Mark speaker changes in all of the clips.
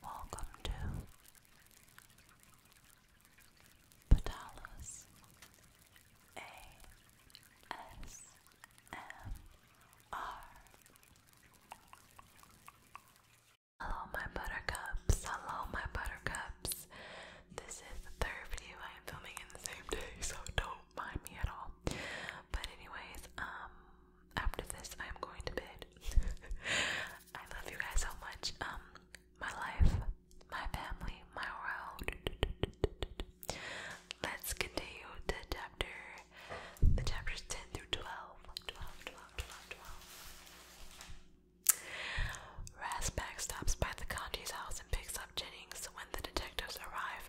Speaker 1: Welcome to Patalas ASMR. Hello, my buttercups. Hello, my buttercups. This is the third video I am filming in the same day, so don't mind me at all. But, anyways, um, after this, I am going to bed. I love you guys so much. Um, my life, my family, my world. Let's continue the chapter, the chapters 10 through 12. 12, 12, stops by the Conti's house and picks up Jennings. When the detectives arrive,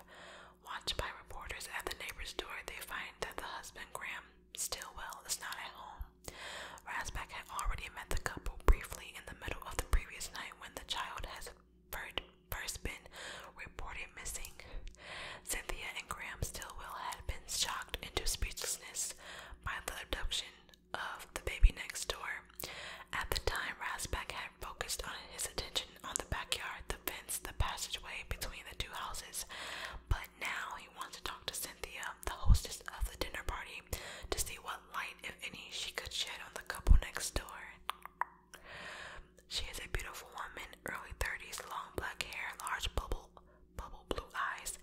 Speaker 1: watched by reporters at the neighbor's door, they find that the husband, Graham, Stillwell is not at home. Rasback had already met the couple briefly in the middle of the previous night when the child has first been reported missing. Cynthia and Graham Stillwell had been shocked into speechlessness by the abduction of the baby next door. At the time, Rasback had focused on his attention on the backyard, the fence, the passageway between the two houses, but now he wants to talk to Cynthia, the hostess of the dinner party, to see what light, if any, she could shed on the couple next door. She is a beautiful woman, early 30s, long black hair, large bubble bubble blue eyes.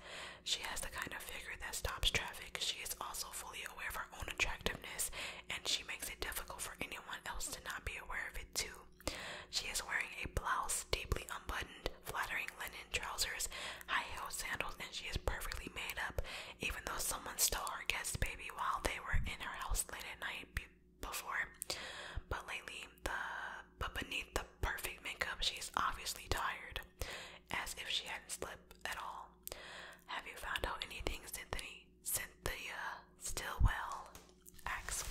Speaker 1: She has the kind of figure that stops traffic. She is also fully aware of her own attractiveness, and she makes it difficult for anyone else to not be aware of it too. She is wearing a blouse, deeply unbuttoned, flattering linen trousers, high-heeled sandals, and she is perfectly made up, even though someone stole her guest baby while they were in her house late at night before. But lately, the but beneath the perfect makeup, she is obviously tired, as if she hadn't slept at all. Have you found out anything, Cynthia? Cynthia still well? X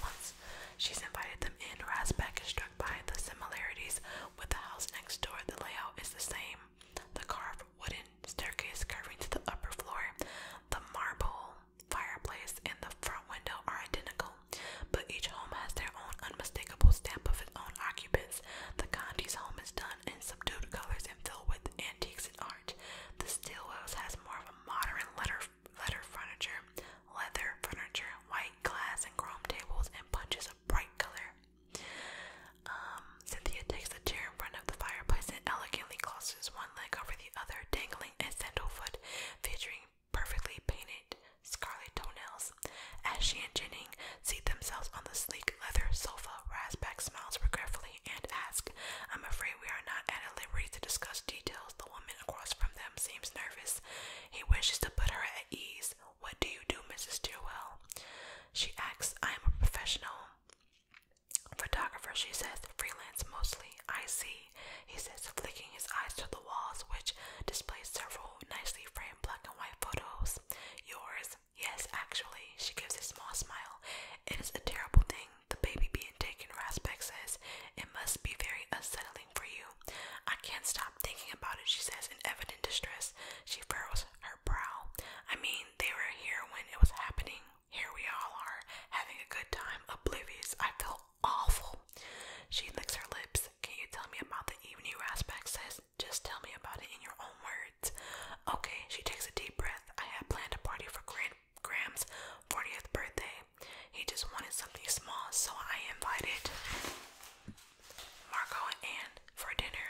Speaker 1: she's invited them in. Rasbeck is struck by the similarities with the house next door. The layout is the same. The carved wooden staircase curving to the upper floor, the marble fireplace, and the front window are identical, but each home has their own unmistakable stamp of its own occupants. The Gandhi's home is done in subdued colors and filled with antiques and art. The Steelwells has more of a modern letter leather furniture, leather furniture, white glass and chrome tables, and punches of bright color. Um, Cynthia takes a chair in front of the fireplace and elegantly crosses one leg over the other, dangling a sandal foot featuring perfectly painted scarlet toenails. As she and Jennings seat themselves on the sleek leather sofa, Rasback smiles regretfully and asks, I'm afraid we are not at a liberty to discuss details. The woman across from them seems nervous. He wishes to put her at ease. What do you do, Mrs. Stirwell? She asks, I am a professional photographer, she says, freelance mostly. I see, he says, flicking his eyes to the walls, which display several nicely framed black and white photos. Yours? Yes, actually. She gives a small smile. It is a terrible thing. The baby being taken, Rasbeck says. It must be very unsettling for you. I can't stop thinking about it, she says in evident distress. She furrows her brow. I mean, they were here when it was happening. Here we all are, having a good time, oblivious. I feel awful. She licks her lips. Can you tell me about the evening Rasback says? Just tell me about it in your own words. Okay, she takes a deep breath. I had planned a party for Grand Graham's 40th birthday. He just wanted something small, so I invited Marco and for dinner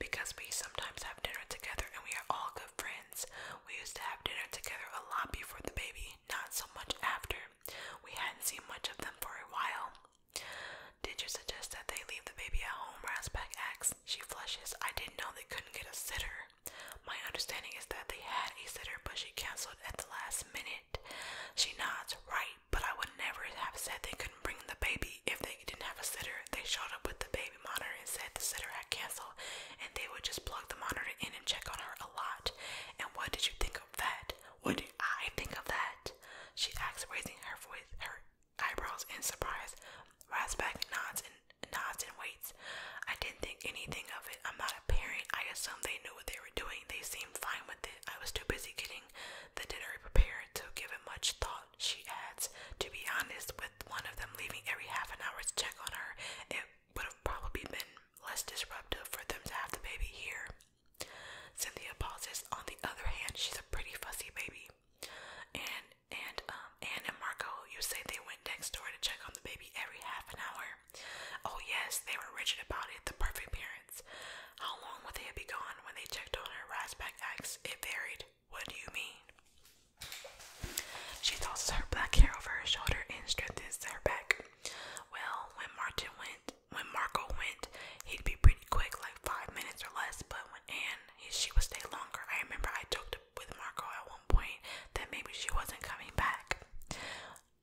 Speaker 1: because we sometimes have dinner together and we are all good friends. We used to have dinner together a lot before the baby, not so much after. We hadn't seen much of them for a while. Did you suggest that they leave the baby at home? Raspeck asks. She flushes. I didn't know they couldn't get a sitter. My understanding is that they had a sitter, but she canceled at the last minute. She nods, right, but I would never have said they couldn't bring the baby if they didn't have a sitter. They showed up with the baby monitor and said the sitter had canceled and they would just plug the monitor in and check on her a lot. And what did you think of that? What did I think of that? She asks, raising her voice, her eyebrows in surprise. Rasback nods and nods and waits. I didn't think anything of it. I'm not a parent. I assume they knew what they were doing. They seemed fine with it. I was too busy getting the dinner prepared to give it much thought, she adds. To be honest, with one of them leaving every half an hour to check on her, it would have probably been less disruptive for them to have the baby here. Cynthia pauses. On the other hand, she's a pretty fussy baby. And and um and and Marco, you say they went next door to check on the baby every half an hour. Oh, yes, they were rigid about it, the perfect parents. How long would they be gone when they checked on her? Rasback asked. It varied. What do you mean? She tosses her black hair over her shoulder and strengthens her back. Well, when Martin went, when Marco went, he'd be pretty quick, like five minutes or less. But when Anne, she would stay longer. I remember I talked with Marco at one point that maybe she wasn't coming back.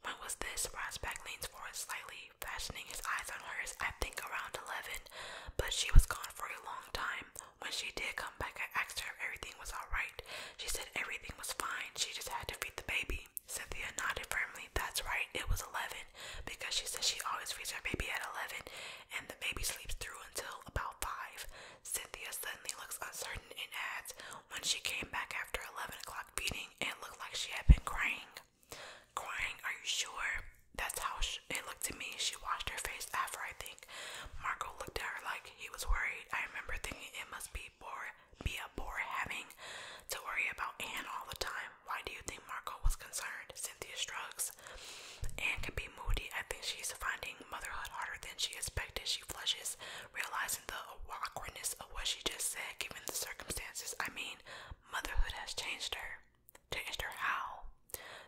Speaker 1: When was this? Rasback leans forward slightly, fastening his eyes on hers, I think around 11, but she was gone for a long time. When she did come back, I asked her if everything was alright. She said everything was fine, she just had to feed the baby. Cynthia nodded firmly, that's right, it was 11, because she says she always feeds her baby at 11, and the baby sleeps through until about 5. Cynthia suddenly looks uncertain and adds, when she came back after 11 o'clock feeding, it looked like she had been crying. Crying, are you sure? That's how it looked to me. She washed her face after, I think. Marco looked at her like he was worried. I remember thinking it must be bore, be a bore having to worry about Anne all the time. Why do you think Marco was concerned? Cynthia shrugs. Anne can be moody. I think she's finding motherhood harder than she expected. She flushes, realizing the awkwardness of what she just said, given the circumstances. I mean, motherhood has changed her. Changed her how?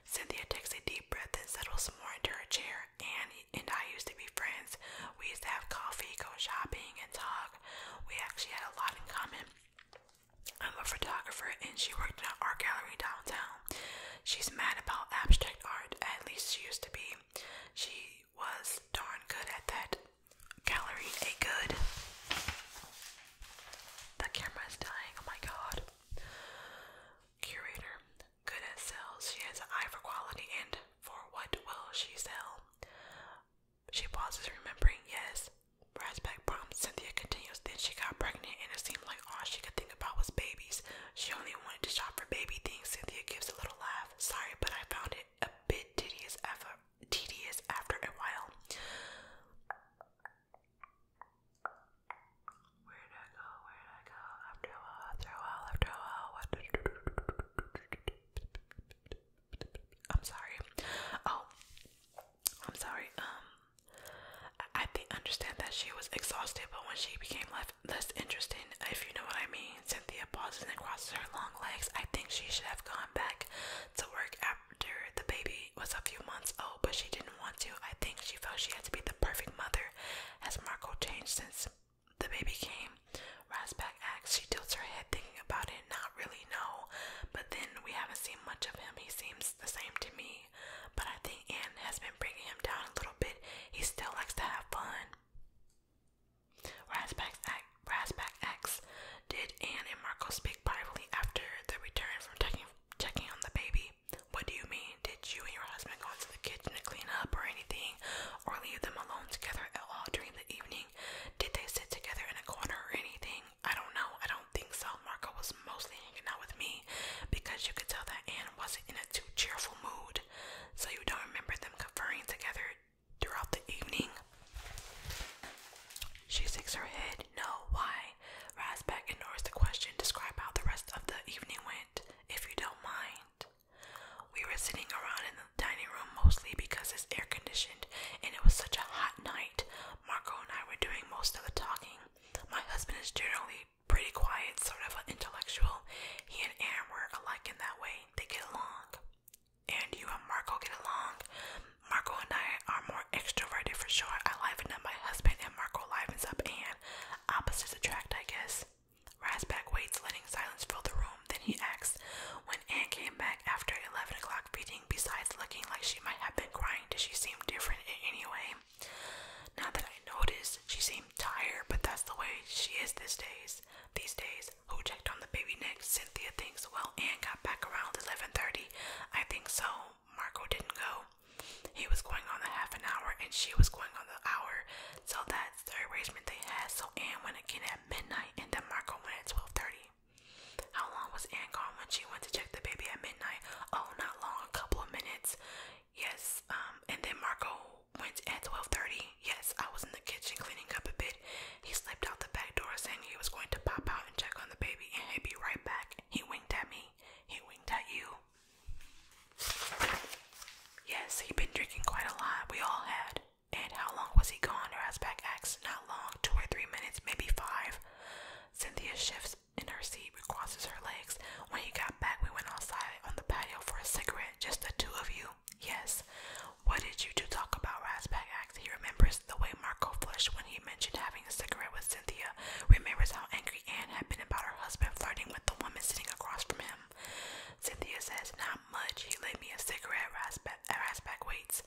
Speaker 1: Cynthia takes a deep breath and settles some more into her chair. Annie and I used to be friends. We used to have coffee, go shopping, and talk. We actually had a lot in common. I'm a photographer and she worked at an art gallery downtown. She's mad about abstract art, at least she used to be. She was darn good at that. Gallery a good. The camera is dying. Oh my god. Curator, good at sales. She has an eye for quality and for what will she sell. She pauses, remembering. Yes. Rasback prompts. Cynthia continues. Then she got pregnant, and it seemed like all she could think about was babies. She only wanted to shop for baby things. Cynthia gives a little laugh. Sorry, but I found it a bit tedious effort tedious after a while. Where did I go? Where did I go? After a while, after a while, after a while. I'm sorry. Oh, I'm sorry. Um, I, think understand that she was exhausted, but when she became left less interesting, if you know what I mean. Cynthia pauses and crosses her long legs. I think she should have gone back to work after the baby was a few months old, but she didn't want to. I think she felt she had to be the perfect mother. Has Marco changed since the baby came? Rasback asks. She tilts her head, thinking about it. Not really, no. But then we haven't seen much of him. He seems the same to me. But I think Anne has been bringing him down a little bit. He still likes to have fun. Rasback X did Anne and Marco speak privately after the return from checking, checking on the baby? What do you mean? Did you and your husband go into the kitchen to clean up or anything, or leave them alone together at all during the evening? Did they sit together in a corner or anything? I don't know. I don't think so. Marco was mostly hanging out with me because you could tell that Anne wasn't in a too cheerful mood. So you don't remember them conferring together throughout the evening. She shakes her head. No, why? Rasback ignores the question. Describe how the rest of the evening went, if you don't mind. We were sitting around in the dining room mostly because it's air conditioned and it was such a hot night. Marco and I were doing most of the talking. My husband is generally pretty quiet, sort of an intellectual. He and Aaron were alike in that way. They get along and you and Marco get along. Marco and I are more extroverted for sure. I liven up my husband, and Marco livens up, and opposites attract, I guess. Rasback waits, letting silence fill the room. Then he asks, When Anne came back after 11 o'clock feeding, besides looking like she might have been crying, does she seem different in any way? Now that I noticed, she seemed tired, but that's the way she is these days. These days, who checked on the baby next. Cynthia thinks well Anne got back around 11.30. I think so. Marco didn't go. He was going on the half an hour and she was going on the hour. So that's the arrangement they had. So Anne went again at midnight and then Marco went at 12.30. How long was Anne gone when she went to check the baby at midnight? Oh, not long, a couple of minutes. Yes, um, and then Marco went at 12.30. Yes, I was in the kitchen cleaning up a bit. He slipped out the back door saying he was going to pop out and check on the baby and he'd be right back. He winked at me. He winked at you. Yes, he'd been drinking quite a lot. We all had. And how long was he gone? Her back asked. Not long, two or three minutes, maybe five. Cynthia shifts in her seat, crosses her legs. When he got back, we went outside on the patio for a cigarette, just the two of you. Yes, what did you two talk about? Rasbag asked. He remembers the way Marco flushed when he mentioned having a cigarette with Cynthia, remembers how angry Anne had been about her husband flirting with the woman sitting across from him. Cynthia says, Not much. He lit me a cigarette, Rasbag, Rasbag waits.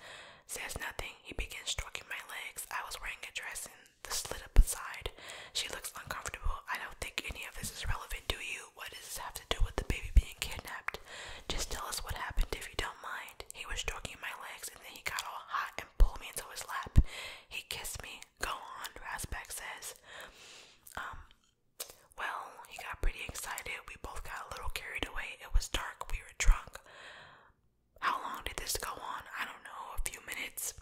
Speaker 1: Says nothing. He begins stroking my legs. I was wearing a dress and the slit up aside. She looks uncomfortable. I don't think any of this is relevant, do you? What does this have to do with the baby being kidnapped? Just tell us what happened if you don't mind. He was stroking my legs and then he got all hot and pulled me into his lap. He kissed me. Go on, Rasbeck says. Um, well, he got pretty excited. We both got a little carried away. It was dark. We were drunk. How long did this go on? I don't know, a few minutes.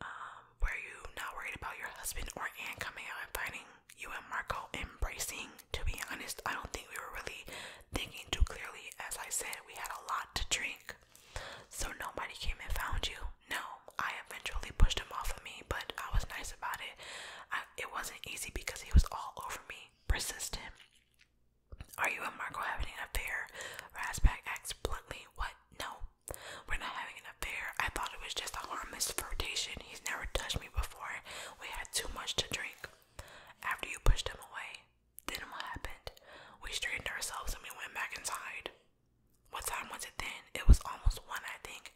Speaker 1: Um, were you not worried about your husband or aunt coming out and finding you and Marco embracing? to be honest. I don't think we were really thinking too clearly. As I said, we had a lot to drink. So nobody came and found you. No, I eventually pushed him off of me, but I was nice about it. it wasn't easy because he was all over me, persistent. Are you and Marco having an affair? Rasback asks bluntly. What? No, we're not having an affair. I thought it was just a harmless flirtation. He's never touched me before. We had too much to drink. After you pushed him away, then what happened? We straightened ourselves and we went back inside. What time was it then? It was almost one, I think.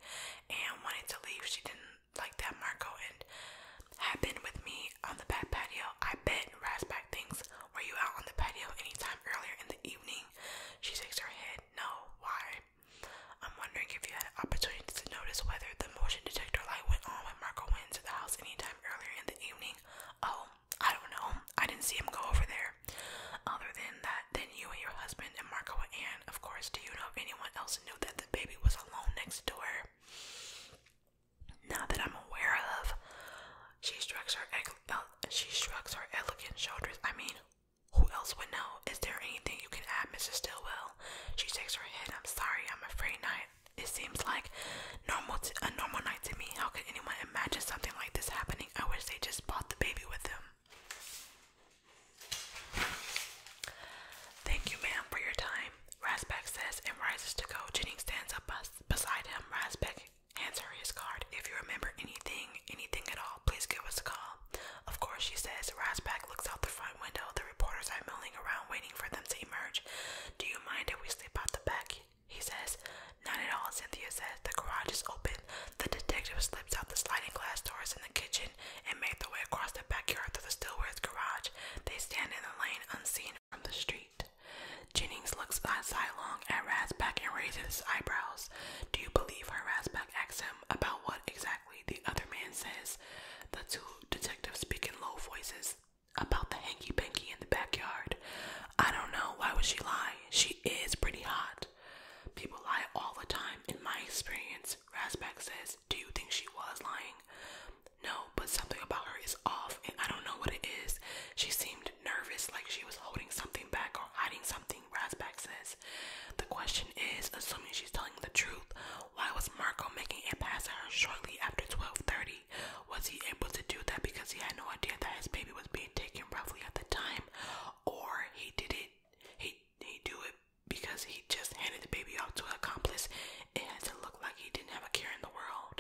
Speaker 1: And wanted to leave, she didn't like that Marco and had been with me on the back patio. I bet Rasback thinks, were you out on the patio anytime earlier in the evening? She shakes her head. No. Why? I'm wondering if you had an opportunity to notice whether the motion detector light went on when Marco went into the house anytime earlier in the evening? Oh, I don't know. I didn't see him go over there. Other than that, then you and your husband and Marco and Anne, of course, do you know if anyone else knew that the baby was alone next door? Not that I'm aware of. She shrugs her uh, she shrugs her elegant shoulders. I mean, who else would know? Is there anything you can add, Mrs. Stillwell? She shakes her head. I'm sorry, I'm afraid not. It seems like normal t a normal night to me. How could anyone imagine something like this happening? I wish they just bought the baby with them. Thank you, ma'am, for your time. Rasbeck says and rises to go. Jennings stands up beside him. Rasbeck hands her his card. If you remember anything, anything at all, please give us a call. Of course, she says. Rasbeck looks out the front window reporters are milling around waiting for them to emerge. Do you mind if we slip out the back? He says. Not at all, Cynthia says. The garage is open. The detective slips out the sliding glass doors in the kitchen and makes their way across the backyard to the Stillware's garage. They stand in the lane unseen from the street. Jennings looks sidelong at Rasback and raises his eyebrows. Do you believe our Rasback asks him. About what exactly? The other man says. The two detectives speak in low voices about the hanky panky in the backyard. I don't know. Why would she lie? She is pretty hot. People lie all the time. In my experience, Rasback says, Do you think she was lying? No, but something about her is off, and I don't know what it is. She seemed nervous, like she was holding something back or hiding something, Rasback says. The question is, assuming she's telling the truth, why was Marco making it past her shortly after 12:30? Was he able to do that because he had no idea that his baby was being taken roughly at the time, or he did it? He he do it because he just handed the baby off to an accomplice. It has to look like he didn't have a care in the world.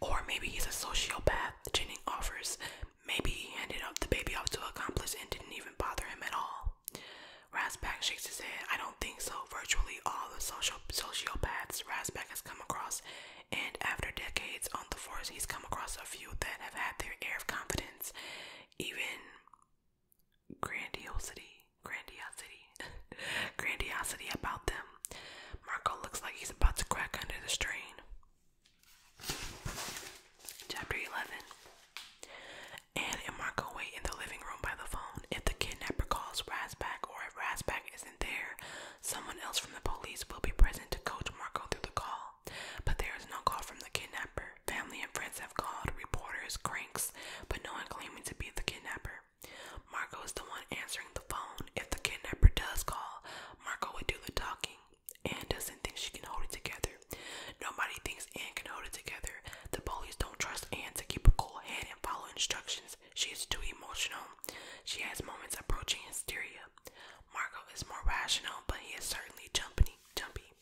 Speaker 1: Or maybe he's a sociopath. Jennings offers. Maybe he handed up the baby off to an accomplice and didn't even bother him at all. Rasback shakes his head. I don't think so. Virtually all the social sociopaths Rasback has come across, and after decades on the force, he's come across a few that have had their air of confidence, even grandiosity, grandiosity, grandiosity about them. Marco looks like he's about to crack under the strain. Chapter 11 Anne and Marco wait in the living room by the phone. If the kidnapper calls, Rasback, or if Rasback isn't there, someone else from the police will be present to coach Marco through the call. But there is no call from the kidnapper. Family and friends have called, reporters, cranks, but no one claiming to be the kidnapper. Marco is the one answering the phone. If the kidnapper does call, Marco would do the talking. Anne doesn't think she can hold it together. Nobody thinks Anne can hold it together. The police don't trust Anne to keep a cool head and follow instructions she is too emotional. She has moments approaching hysteria. Marco is more rational, but he is certainly jumpy. Jumpy.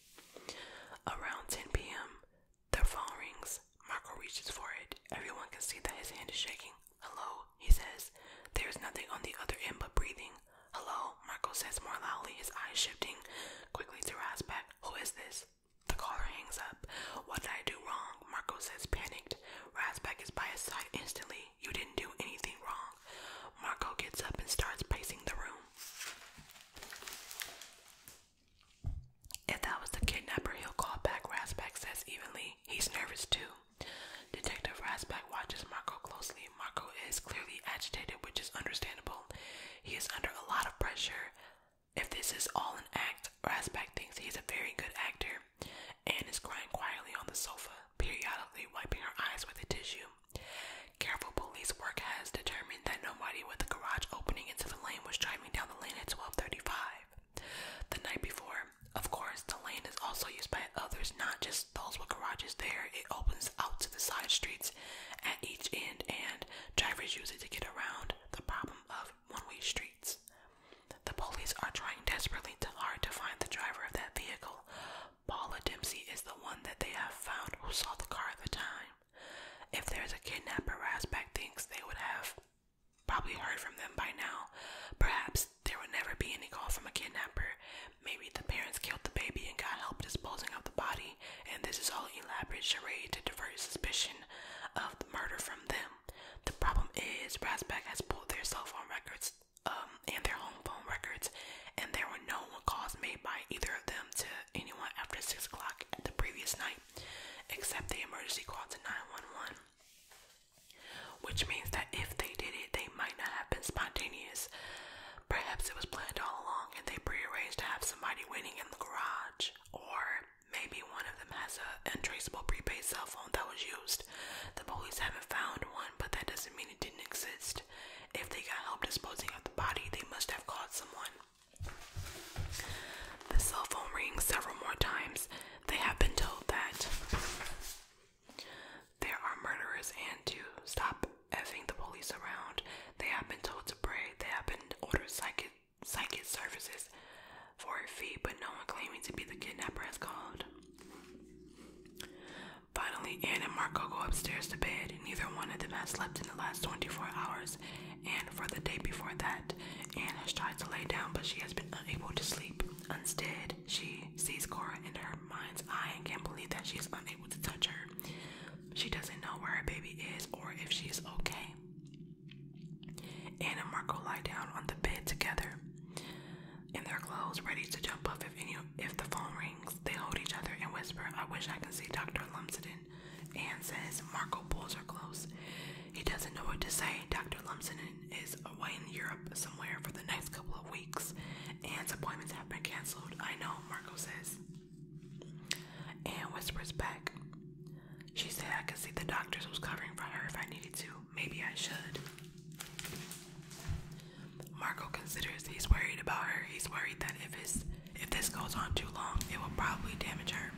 Speaker 1: Around 10 p.m., their phone rings. Marco reaches for it. Everyone can see that his hand is shaking. Hello, he says. There is nothing on the other end but breathing. Hello, Marco says more loudly, his eyes shifting quickly to Rasback. Who is this? The caller hangs up. What did I do wrong? Marco says, panicked. Razback is by his side instantly. You didn't do anything wrong. Marco gets up and starts pacing the room. If that was the kidnapper, he'll call back, Razback says evenly. He's nervous too. Detective Razback watches Marco closely. Marco is clearly agitated, which is understandable. He is under a lot of pressure. If this is all an act, Rasback thinks he's a very good actor. Anne is crying quietly on the sofa, periodically wiping her eyes with a tissue. Careful police work has determined that nobody with a garage opening into the lane was driving down the lane at 12:35 the night before. Of course, the lane is also used by others, not just those with garages there. It opens out to the side streets at each end, and drivers use it to get around the problem of one-way streets. The police are trying desperately to hard to find the driver of that vehicle. Paula Dempsey is the one that they have found who saw the car at the time. If there's a kidnapper, Rasback thinks they would have probably heard from them by now. Perhaps there would never be any call from a kidnapper. Maybe the parents killed the baby and got help disposing of the body, and this is all elaborate charade to divert suspicion of the murder from them. The problem is Razback has pulled their cell phone records um, and their home phone records, and there were no calls made by either of them to anyone after 6 o'clock the previous night, except the emergency call to 911. Which means that if they did it, they might not have been spontaneous. Perhaps it was planned all along and they prearranged to have somebody waiting in the garage, or Maybe one of them has a untraceable prepaid cell phone that was used. The police haven't found one, but that doesn't mean it didn't exist. If they got help disposing of the body, they must have called someone. The cell phone rings several more times. They have been told that there are murderers and to stop effing the police around. They have been told to pray. They have been ordered psychic psychic services for a fee, but no one claiming to be the kidnapper has called. Finally, Anne and Marco go upstairs to bed. Neither one of them has slept in the last 24 hours, and for the day before that, Anne has tried to lay down, but she has been unable to sleep. Instead, she sees Cora in her mind's eye and can't believe that she is unable to touch her. She doesn't know where her baby is or if she is okay. Anne and Marco lie down on the bed together, in their clothes, ready to jump up if any if the phone rings. They hold each other and whisper, "I wish I could see Doctor Lumsden." Anne says Marco pulls her close. He doesn't know what to say. Doctor Lumsden is away in Europe somewhere for the next couple of weeks. and appointments have been canceled. I know, Marco says. Anne whispers back, she said I could see the doctors was covering for her if I needed to. Maybe I should. Marco considers he's worried about her. He's worried that if his if this goes on too long, it will probably damage her.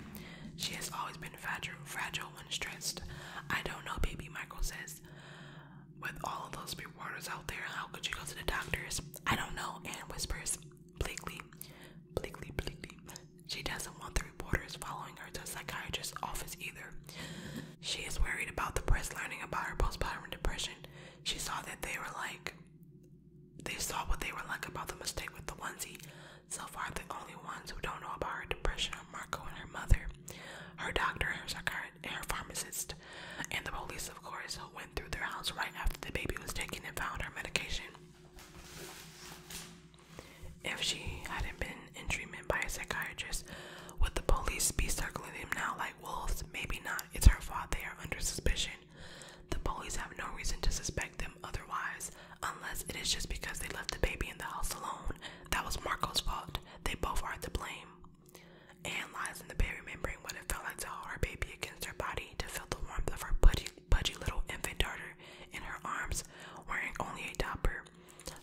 Speaker 1: She has always been fragile, fragile when stressed. I don't know, baby, Michael says. With all of those reporters out there, how could you go to the doctors? I don't know, Anne whispers. Bleakly, bleakly, bleakly. She doesn't want the reporters following her to a psychiatrist's office either. She is worried about the press learning about her postpartum depression. She saw that they were like, they saw what they were like about the mistake with the onesie. So far, the only ones who don't know about her depression are Marco and her mother, her doctor, her psychiatrist, and her pharmacist, and the police, of course, who went through their house right after the baby was taken and found her medication. If she hadn't been in treatment by a psychiatrist, would the police be circling him now like wolves? Maybe not. It's her fault they are under suspicion. The police have no reason to suspect them otherwise, unless it is just because they left the baby in the house alone. That was Marco's fault. They both are to blame. Anne lies in the baby membrane when it felt like to hold her baby against her body to feel the warmth of her pudgy little infant daughter her in her arms, wearing only a topper.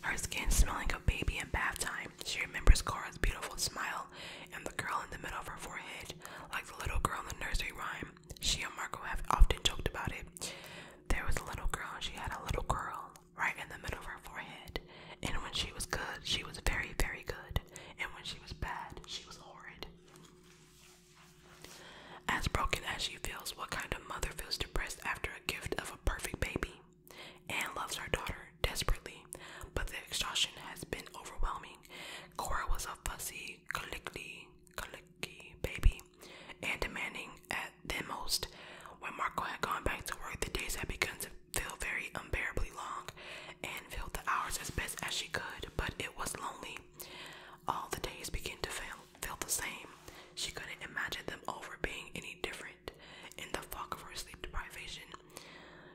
Speaker 1: Her skin smelling of baby in bath time. She remembers Cora's beautiful smile and the girl in the middle of her forehead, like the little girl in the nursery rhyme. She and Marco have often joked about it. There was a little girl, and she had a little girl right in the middle of her forehead. And when she was good, she was very, very good. And when she was bad, she was horrid. As broken as she feels, what kind of mother feels depressed after a gift of a perfect baby? Anne loves her daughter desperately, but the exhaustion has been overwhelming. Cora was a fussy, clingy, clingy baby, and demanding at the most. When Marco had gone back to work, the days had begun to feel very unbearably long. and filled the hours as best as she could, but it was lonely. All the days began to fail felt the same. She couldn't imagine them ever being any different. In the fog of her sleep deprivation,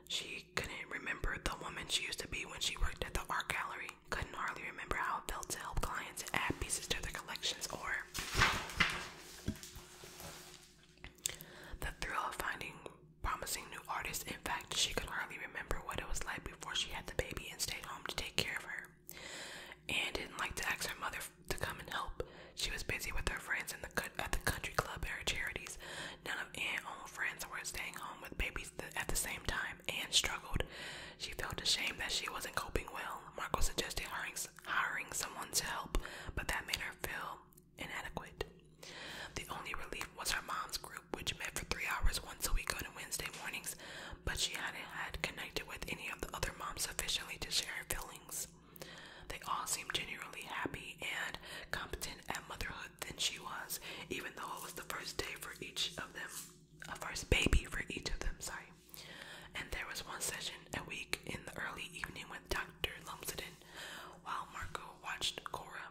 Speaker 1: she couldn't remember the woman she used to be when she worked at the art gallery. Couldn't hardly remember how it felt to help clients add pieces to their collections or the thrill of finding promising new artists. In fact, she could not hardly remember what it was like before she had the baby and stayed home to take care of her. Anne didn't like to ask her mother to come and help. She was busy with her friends in the at the country club and her charities. None of Anne's own friends were staying home with babies at the same time. Anne struggled. She felt ashamed that she wasn't coping well. Marco suggested hiring, hiring someone to help, but that made her feel inadequate. The only relief was her mom's group, which met for three hours once a week on Wednesday mornings but she hadn't had connected with any of the other moms sufficiently to share her feelings. They all seemed genuinely happy and competent at motherhood than she was, even though it was the first day for each of them, a first baby for each of them, sorry. And there was one session a week in the early evening with Dr. Lumsden while Marco watched Cora.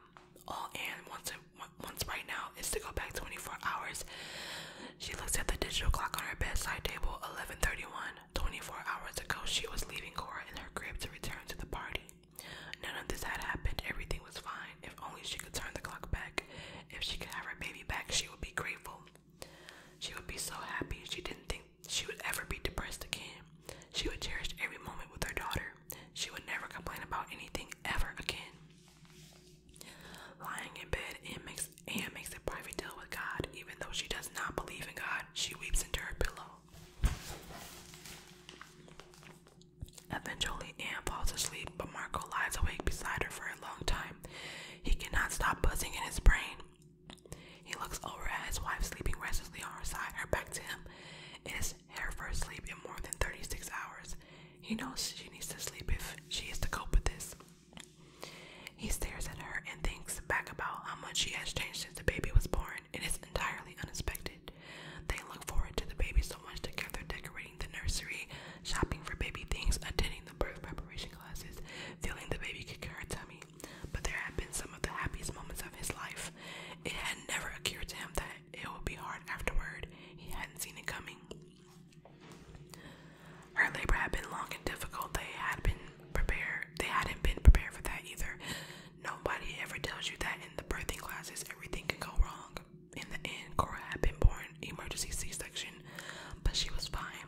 Speaker 1: All Anne wants, to, wants right now is to go back 24 hours she looks at the digital clock on her bedside table, 11:31. 24 hours ago, she was leaving Cora in her crib to return to the party. None of this had happened. Everything was fine. If only she could turn the clock back. If she could have her baby back, she would be grateful. She would be so happy. She didn't think she would ever be depressed again. She would cherish every moment with her daughter. She would never complain about anything ever again. Lying in bed, Anne makes, a private deal with God. Even though she does not believe in God, she weeps into her pillow. Eventually, Anne falls asleep, but Marco lies awake beside her for a long time. He cannot stop buzzing in his brain. He looks over at his wife sleeping restlessly on her side, her back to him. It is her first sleep in more than 36 hours. He knows she needs to sleep if she is to cope with this. He stares at her and thinks back about how much she has changed since the baby was born. It is entirely unexpected. They look forward to the baby so much together, decorating the nursery, shopping for baby things, attending the birth preparation classes, feeling the baby kick her tummy. But there had been some of the happiest moments of his life. It had never occurred to him that it would be hard afterward. He hadn't seen it coming. Her labor had been long and difficult. They had been prepared. They hadn't been prepared for that either. Nobody ever tells you that in the birthing classes, everything can go wrong. In the end, Cora had been born emergency C-section, but she was fine.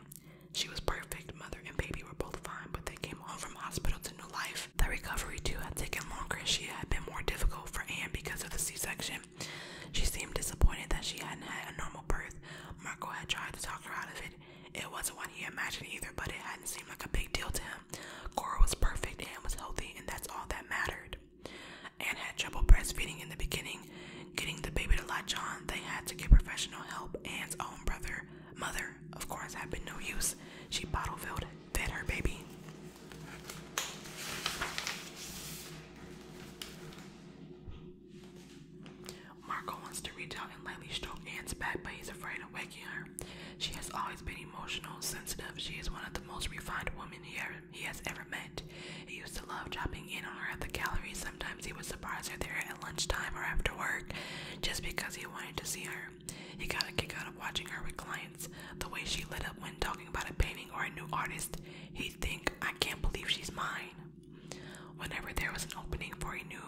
Speaker 1: She was perfect. Mother and baby were both fine, but they came home from hospital to new life. The recovery too had taken longer, and she had been more difficult for Anne because of the C-section. She seemed disappointed that she hadn't had a normal birth, Marco had tried to talk her out of it. It wasn't what he imagined either, but it hadn't seemed like a big deal to him. Cora was perfect and was healthy, and that's all that mattered. Anne had trouble breastfeeding in the beginning. Getting the baby to latch on, they had to get professional help. Anne's own brother, mother, of course, had been no use. She bottle filled, fed her baby. Marco wants to reach out and lightly stroke Anne's back, but he's afraid of waking her. She has always been emotional, sensitive. She is one of the most refined women he, ever, he has ever met. He used to love dropping in on her at the gallery. Sometimes he would surprise her there at lunchtime or after work just because he wanted to see her. He got a kick out of watching her with clients, the way she lit up when talking about a painting or a new artist. He'd think, I can't believe she's mine. Whenever there was an opening for a new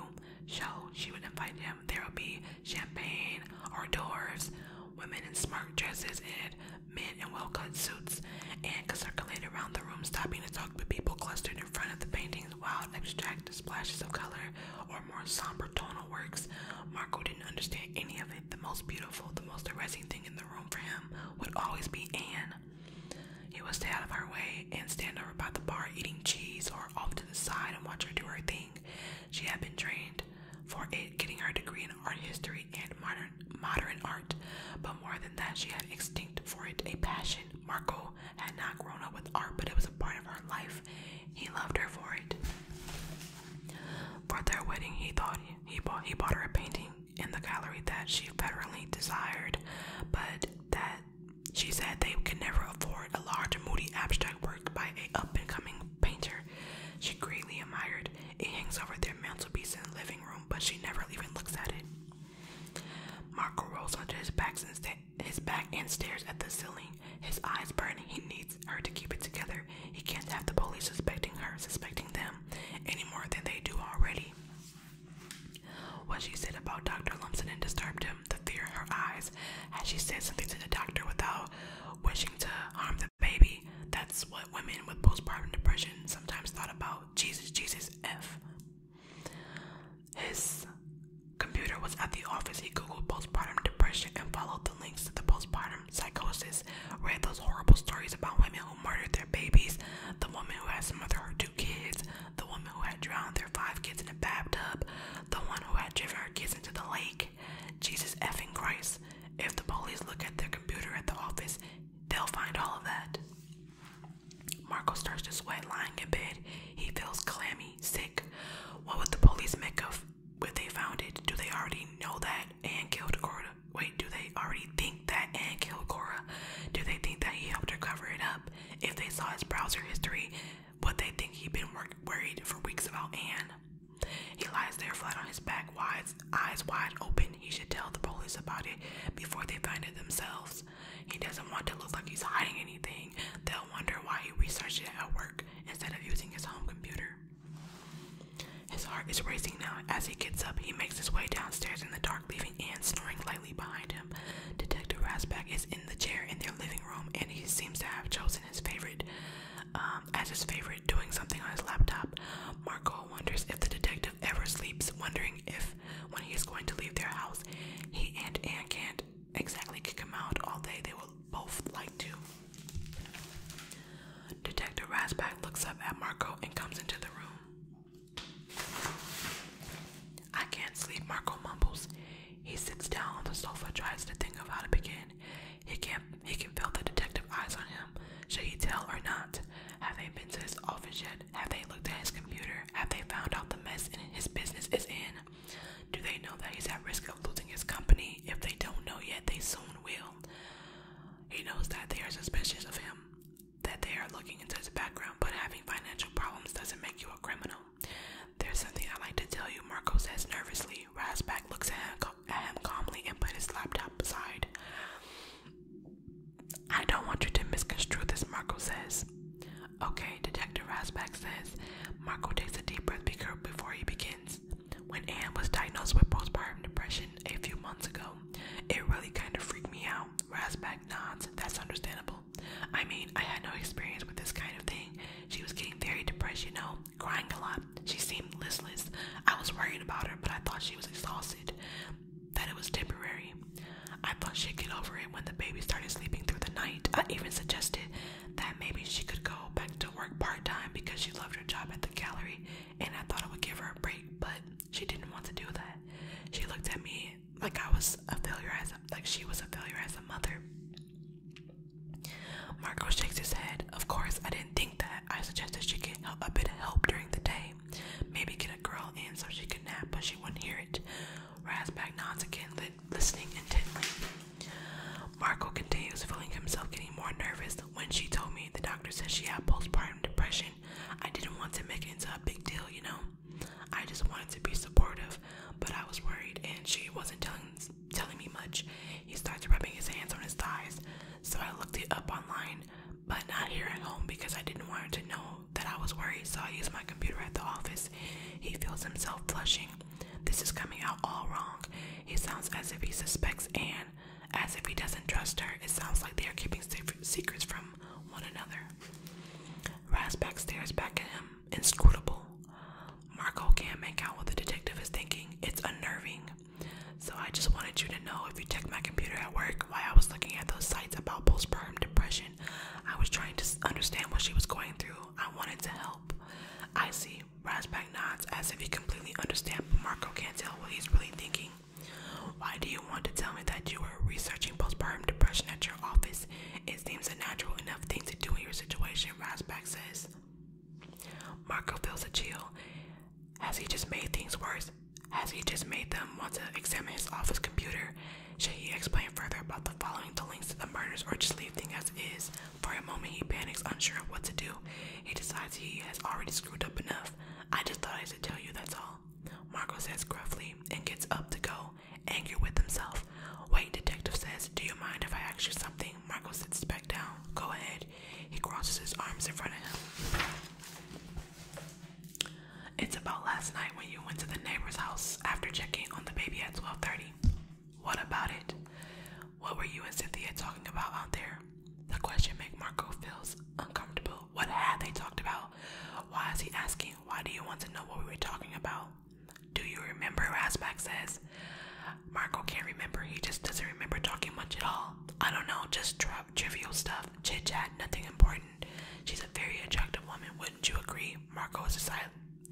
Speaker 1: show, she would invite him. There would be champagne, hors d'oeuvres, women in smart dresses, and men in well cut suits, and could circulate around the room, stopping to talk to people clustered in front of the paintings, wild, abstract splashes of color, or more somber tonal works. Marco didn't understand any of it. The most beautiful, the most arresting thing in the room for him would always be Anne. He would stay out of her way and stand over by the bar eating cheese or off to the side and watch her do her thing. She had been trained for it, getting her degree in art history and modern modern art. But more than that, she had extinct for it, a passion. Marco had not grown up with art, but it was a part of her life. He loved her for it. For their wedding, he thought he bought he bought her a painting in the gallery that she federally desired, but that she said they could never afford a large, moody abstract work by a up-and-coming painter she greatly admired. It hangs over their mantelpiece in the living room, but she never even looks at it. Marco rolls onto his back, his back and stares at the ceiling. His eyes burn. He needs her to keep it together. He can't have the police suspecting her, suspecting them, any more than they do already. What she said about Dr. Lumsden disturbed him, the fear in her eyes. Had she said something to the doctor without wishing to harm the baby? That's what women with postpartum depression sometimes thought about. Jesus, Jesus, F. His computer was at the office. He googled postpartum depression and followed the links to the postpartum psychosis. Read those horrible stories about women who murdered their babies, the woman who has to mother her two kids, the woman who had drowned their five kids in a bathtub, the one who had driven her kids into the lake. Jesus effing Christ. If the police look at their computer at the office, they'll find all of that. Marco starts to sweat lying in bed. He feels clammy, sick. What would the police make of if they found it? Do they already know that Anne killed Cora? Wait, do they already think that Anne killed Cora? Do they think that he helped her cover it up? if they saw his browser history, what they think he'd been worried for weeks about Anne. He lies there flat on his back, wide, eyes wide open. He should tell the police about it before they find it themselves. He doesn't want to look like he's hiding anything. They'll wonder why he researched it at work instead of using his home computer. His heart is racing now. As he gets up, he makes his way downstairs in the dark, leaving Anne snoring lightly behind him. Detective Rasback is in the chair in their living room, and he seems to have chosen his favorite um, as his favorite, doing something on his laptop. Marco wonders if the detective ever sleeps, wondering if, when he is going to leave their house, he and Anne can't exactly kick him out all day. They will both like to. Detective Rasback looks up at Marco and comes into the room. I can't sleep, Marco mumbles. He sits down on the sofa, tries to think of how to begin. He can't he can feel the detective eyes on him. Should he tell or not? Have they been to his office yet? Have they looked at his computer? Have they found out the mess in his business is in? Do they know that he's at risk of losing his company? If they don't know yet, they soon will. He knows that they are suspicious of him that they are looking into his background, but having financial problems doesn't make you a criminal. There's something I'd like to tell you, Marco says nervously. Rasback looks at him, calmly and puts his laptop aside. I don't want you to misconstrue this, Marco says. Okay, Detective Rasback says. Marco takes a deep breath before he begins. When Anne was diagnosed with postpartum depression a few months ago, it really kind of freaked me out. Rasback nods. That's understandable. I mean, I had no experience with this kind of thing. She was getting very depressed, you know, crying a lot. She seemed listless. I was worried about her, but I thought she was exhausted, that it was temporary. I thought she'd get over it when the baby started sleeping through the night. I even suggested that maybe she could go back to work part time because she loved her job at the gallery and I thought it would give her a break, but she didn't want to do that. She looked at me like I was a failure as a like she was a failure as a mother. Marco shakes his head. Of course, I didn't think that. I suggested she get a bit of help during the day. Maybe get a girl in so she could nap, but she wouldn't hear it. back nods again, listening intently. Marco continues, feeling himself getting more nervous. When she told me the doctor said she had postpartum depression, I didn't want to make it into a big deal, you know? I just wanted to be supportive, but I was worried, and she wasn't telling telling me much. He starts rubbing his hands on his thighs, so I looked it up online, but not here at home because I didn't want her to know that I was worried. So I used my computer at the office. He feels himself flushing. This is coming out all wrong. He sounds as if he suspects Anne, as if he doesn't trust her. It sounds like they are keeping secrets from one another. Raz back stares back at him inscrutable. Marco can't make out what the detective is thinking. It's unnerving. So I just wanted you to know if you checked my computer at work while I was looking at those sites about postpartum depression, I was trying to understand what she was going through. I wanted to help. I see. Rasback nods as if he completely understands, but Marco can't tell what he's really thinking. Why do you want to tell me that you were? researching postpartum depression at your office, it seems a natural enough thing to do in your situation, Rasback says. Marco feels a chill. Has he just made things worse? Has he just made them want to examine his office computer? Should he explain further about the following the links to the murders or just leave things as is? For a moment, he panics, unsure of what to do. He decides he has already screwed up enough. I just thought I should tell you, that's all. Marco says gruffly and gets up to go angry with himself. Wait, detective says, Do you mind if I ask you something? Marco sits back down. Go ahead. He crosses his arms in front of him. It's about last night when you went to the neighbor's house after checking on the baby at 12:30. What about it? What were you and Cynthia talking about out there? The question makes Marco feels uncomfortable. What had they talked about? Why is he asking? Why do you want to know what we were talking about? Do you remember? Rasback says. Marco can't remember. He just doesn't remember talking much at all. I don't know, just trivial stuff, chit chat, nothing important. She's a very attractive woman, wouldn't you agree? Marco is, sil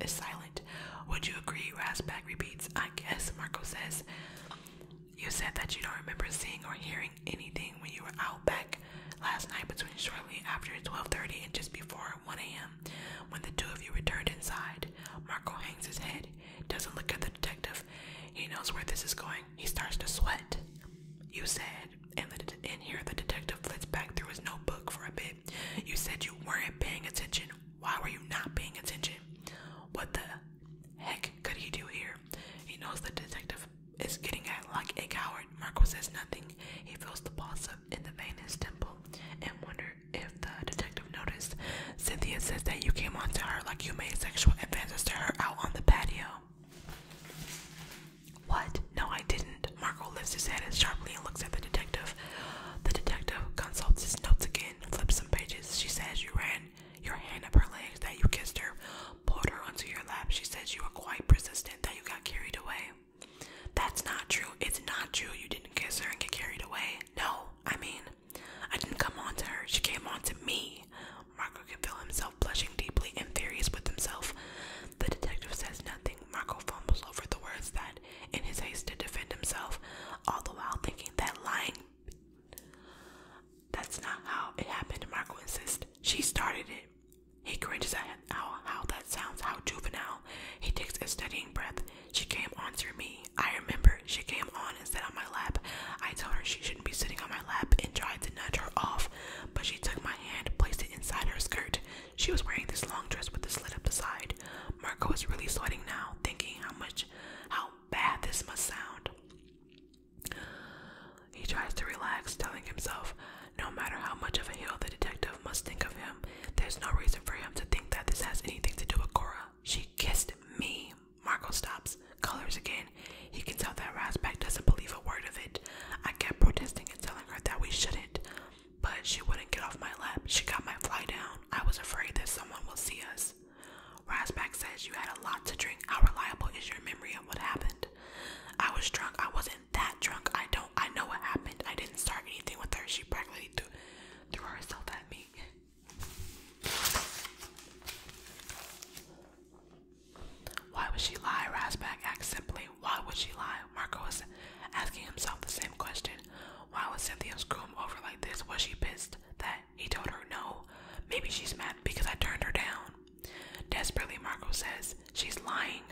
Speaker 1: is silent. Would you agree? Rasback repeats. I guess, Marco says. You said that you don't remember seeing or hearing anything when you were out back last night between shortly after 12:30 and just before 1 a.m. When the two of you returned inside, Marco hangs his head, doesn't look at the detective. He knows where this is going. He starts to sweat. You said, and, here the detective flits back through his notebook for a bit. You said you weren't paying attention. Why were you not paying attention? What the heck could he do here? He knows the detective is getting at like a coward. Marco says nothing. He feels the pulse of in the Venus temple and wonder if the detective noticed. Cynthia says that you came onto her like you made sexual advances to her out on the patio. What? No, I didn't. Marco lifts his head and sharply and looks at the detective. The detective consults his notes again, flips some pages. She says you ran your hand up her legs, that you kissed her, pulled her onto your lap. She says you were quite persistent, that you got carried away. That's not true. It's not true. You didn't kiss her and get carried away. No, I mean, I didn't come on to her. She came on to me. Marco can feel himself blushing deeply and furious with himself. The detective says nothing. Marco fumbles over the words that, in his haste to defend himself, all the while thinking that lying. That's not how it happened, Marco insists. She started it. He cringes at how, how that sounds, how juvenile. He takes a steadying breath. She came on to me. I remember she came on and sat on my lap. I told her she shouldn't be sitting on my lap and tried to nudge her off, but she took my hand, placed it inside her skirt. She was wearing this long dress with the slit up the side. Marco is really sweating now, thinking how much, how bad this must sound. He tries to relax, telling himself, no matter how much of a hero the detective must think of him, there's no reason for him to think that this has anything to do with Cora. She kissed me. Marco stops, colors again. He can tell that Rasback doesn't believe a word of it. I kept protesting and telling her that we shouldn't, but she wouldn't get off my lap. She got my fly down. I was afraid that someone will see us. Rasback says you had a lot to drink. How reliable is your memory of what happened? I was drunk. I wasn't that drunk. I don't. I know what happened. I didn't start anything with her. She practically threw, threw herself at me. Why would she lie? back, asked simply. Why would she lie? Marco was asking himself the same question. Why was Cynthia screw over like this? Was she pissed that he told her no? Maybe she's mad because I turned her down. Desperately, Marco says she's lying.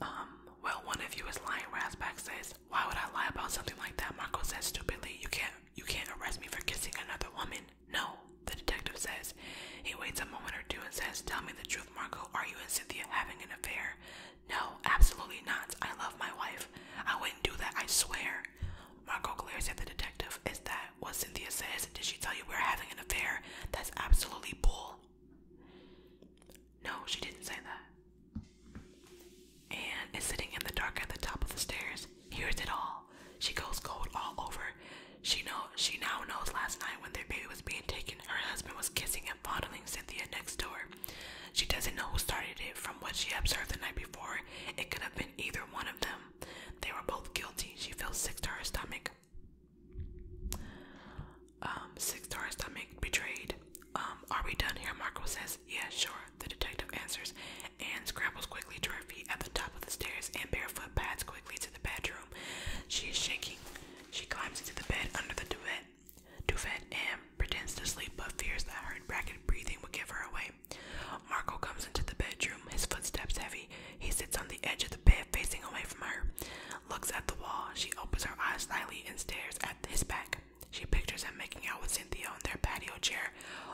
Speaker 1: Um, well, one of you is lying. Rasback says, "Why would I lie about something like that?" Marco says stupidly, "You can't, you can't arrest me for kissing another woman." No, the detective says. He waits a moment or two and says, "Tell me the truth, Marco. Are you and Cynthia having an affair?" No, absolutely not. I love my wife. I wouldn't do that. I swear. Marco glares at the detective. Is that what Cynthia says? Did she tell you we're having an affair? That's absolutely bull. No, she didn't say that. Anne is sitting in the dark at the top of the stairs. Hears it all. She goes cold all over. She know she now knows last night when their baby was being taken, her husband was kissing and fondling Cynthia next door. She doesn't know who started it. From what she observed the night before, it could have been either one of them. They were both guilty. She feels sick to her stomach. Um, six six star stomach betrayed. Um, are we done here? Marco says, Yeah, sure. The detective answers and scrambles quickly to her feet at the top of the stairs and barefoot pads quickly to the bedroom. She is shaking. She climbs into the bed under the duvet, duvet and pretends to sleep but fears that her ragged breathing will give her away. Marco comes into the bedroom, his footsteps heavy. He sits on the edge of the bed, facing away from her looks at the wall. She opens her eyes slightly and stares at his back. She pictures him making out with Cynthia on their patio chair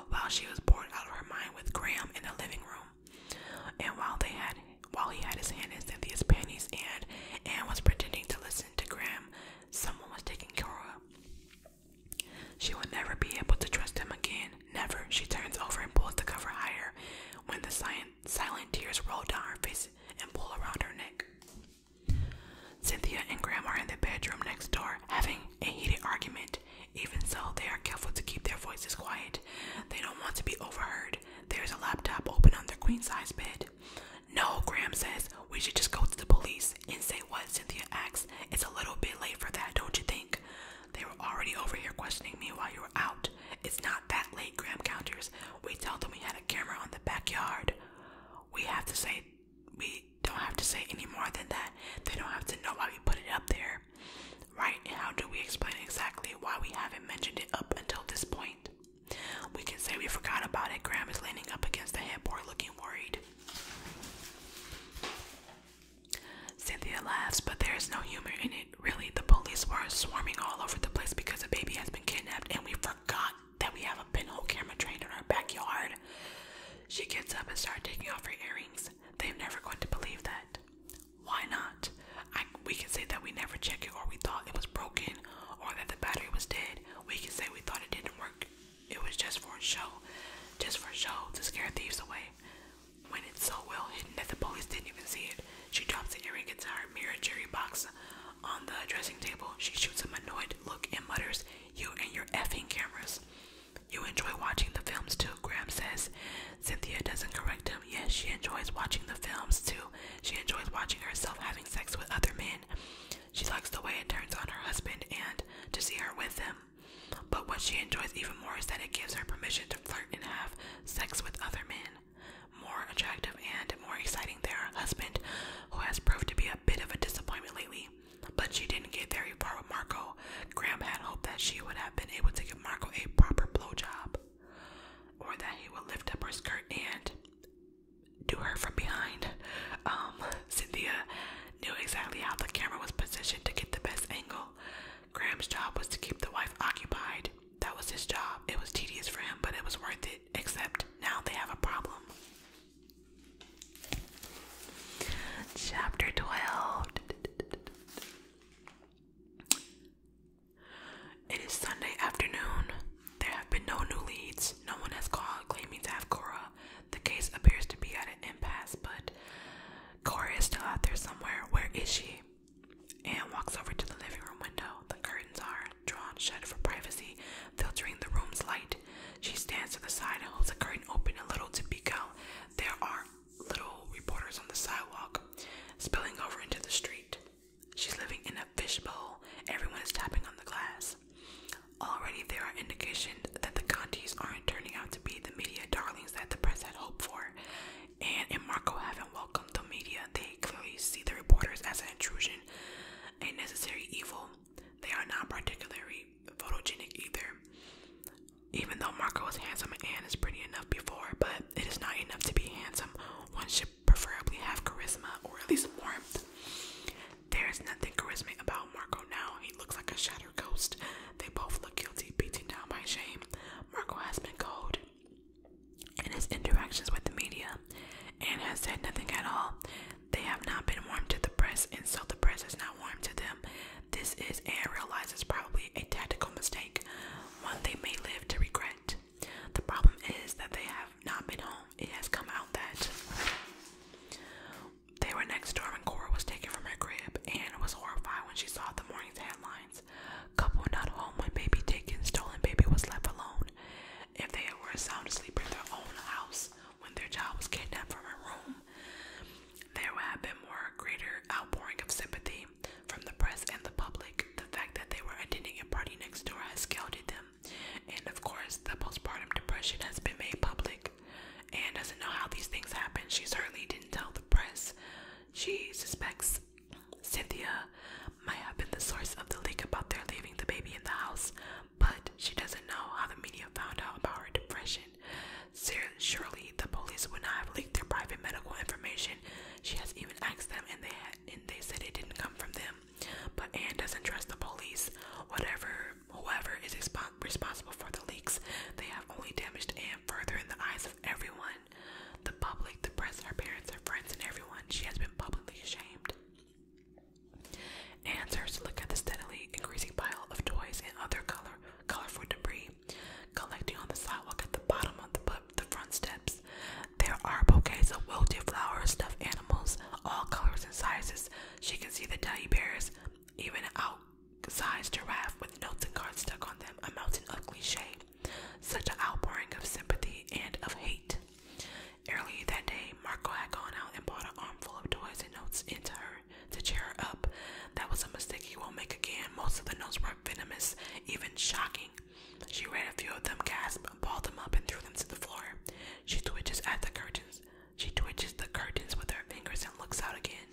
Speaker 1: while she was bored out of her mind with Graham in the living room. And while they had while he had his hand in Cynthia's panties and Anne was pretending to listen to Graham, someone was taking care of. her. She would never be able to trust him again. Never. She turns over and pulls the cover higher. When the silent, silent tears roll down her face, and pull around her neck. Cynthia and Graham are in the bedroom next door having a heated argument. Even so, they are careful to keep their voices quiet. They don't want to be overheard. There's a laptop open on their queen size bed. No, Graham says, we should just go to the police and say what Cynthia asks. It's a little bit late for that, don't you think? They were already over here questioning me while you were out. It's not that late, Graham counters. We tell them we had camera on the backyard. We have to say, we don't have to say any more than that. They don't have to know why we put it up there, right? how do we explain exactly why we haven't mentioned it up until this point? We can say we forgot about it. Graham is leaning up against the headboard looking worried. Cynthia laughs, but there is no humor in it. Really, the police were swarming all over the place because a baby has been kidnapped and we forgot that we have a pinhole camera trained in our backyard. She gets up and starts taking off her earrings. They're never going to believe that. Why not? we can say that we never checked it, or we thought it was broken, or that the battery was dead. We can say we thought it didn't work. It was just for a show, just for a show to scare thieves away. When it's so well hidden that the police didn't even see it, she drops the earring guitar, mirror cherry box on the dressing table. She shoots him annoyed look and mutters, You and your effing cameras. You enjoy watching the films too, Graham says. Cynthia doesn't correct him. Yes, she enjoys watching the films too. She enjoys watching herself having sex with other men. She likes the way it turns on her husband and to see her with him. But what she enjoys even more is that it gives her permission to flirt and have sex with other men more attractive and more exciting than her husband, who has proved to be a bit of a disappointment lately. But she didn't get very far with Marco. Graham had hoped that she would have been able to give Marco a proper blowjob, or that he would lift up her skirt and do her from behind. Um, Cynthia knew exactly how the camera was positioned to get the best angle. Graham's job was to keep the wife occupied. That was his job. It was tedious for him, but it was worth it except now they have a problem. Chapter 12. It is Sunday afternoon. There have been no new leads. No one has called claiming to have Cora. The case appears to be at an impasse, but Cora is still out there somewhere. Where is she? Anne walks over to the living room window. The curtains are drawn shut for privacy, filtering the room's light. She stands to the side and holds the curtain open a little to peek out. There are little reporters on the sidewalk, spilling over into the street. She's living in a fishbowl. Everyone is tapping on the glass. Already there are indications that the Contis aren't turning out to be the media darlings that the press had hoped for. Anne and Marco haven't welcomed the media. They clearly see the reporters as an intrusion a necessary evil. They are not particularly photogenic either. Even though Marco is handsome, and is pretty enough before, but it is not enough to be handsome. One should preferably have charisma or at least warmth. There is nothing charismatic about Marco now. He looks like a shattered ghost. They both look guilty, beaten down by shame. Marco has been cold in his interactions with the media and has said nothing at all. They have not been warm to the press, and so the press is not warm to them. This is and realizes probably a tactical mistake, one they may live to regret. The problem is that they have not been home. It has come out that they were next door when Cora was taken from her crib and was horrified when she saw the morning's headlines. Couple not home when baby taken, stolen baby was left alone if they were sound asleep in their own house when their child was kidnapped from her room, there would have been more greater outpouring of sympathy from the press and the public. The fact that they were attending a party next door has scouted them. And of course, the postpartum depression has been made public. And doesn't know how these things happen. She certainly didn't tell the press. She suspects Cynthia might have been the source of the leak about their leaving the baby in the house, but she doesn't know how the media found out about her depression. Surely the police would not have leaked their private medical information. She has even asked them, and they and they said it didn't come from them. But Anne doesn't trust the police. Whatever, whoever is responsible for the leaks, they have only damaged Anne further in the eyes of everyone, the public, the press, her parents, her friends, and everyone. She has been publicly shamed. Anne look at the steadily increasing pile of toys and other color, colorful debris collecting on the sidewalk at the bottom of the, front steps. There are bouquets of wilted flowers, stuffed animals, all colors and sizes. She can see the teddy bears, even an outsized giraffe with notes and cards stuck on them, a mountain of cliche. Such an outpouring of sympathy and of hate. Earlier that day, Marco had gone out and bought an armful of toys and notes into her to cheer her up. That was a mistake he won't make again. Most of the notes were venomous, even shocking. She read a few of them, gasped, pulled them up, and threw them to the floor. She twitches at the curtains. She twitches the curtains with her fingers and looks out again.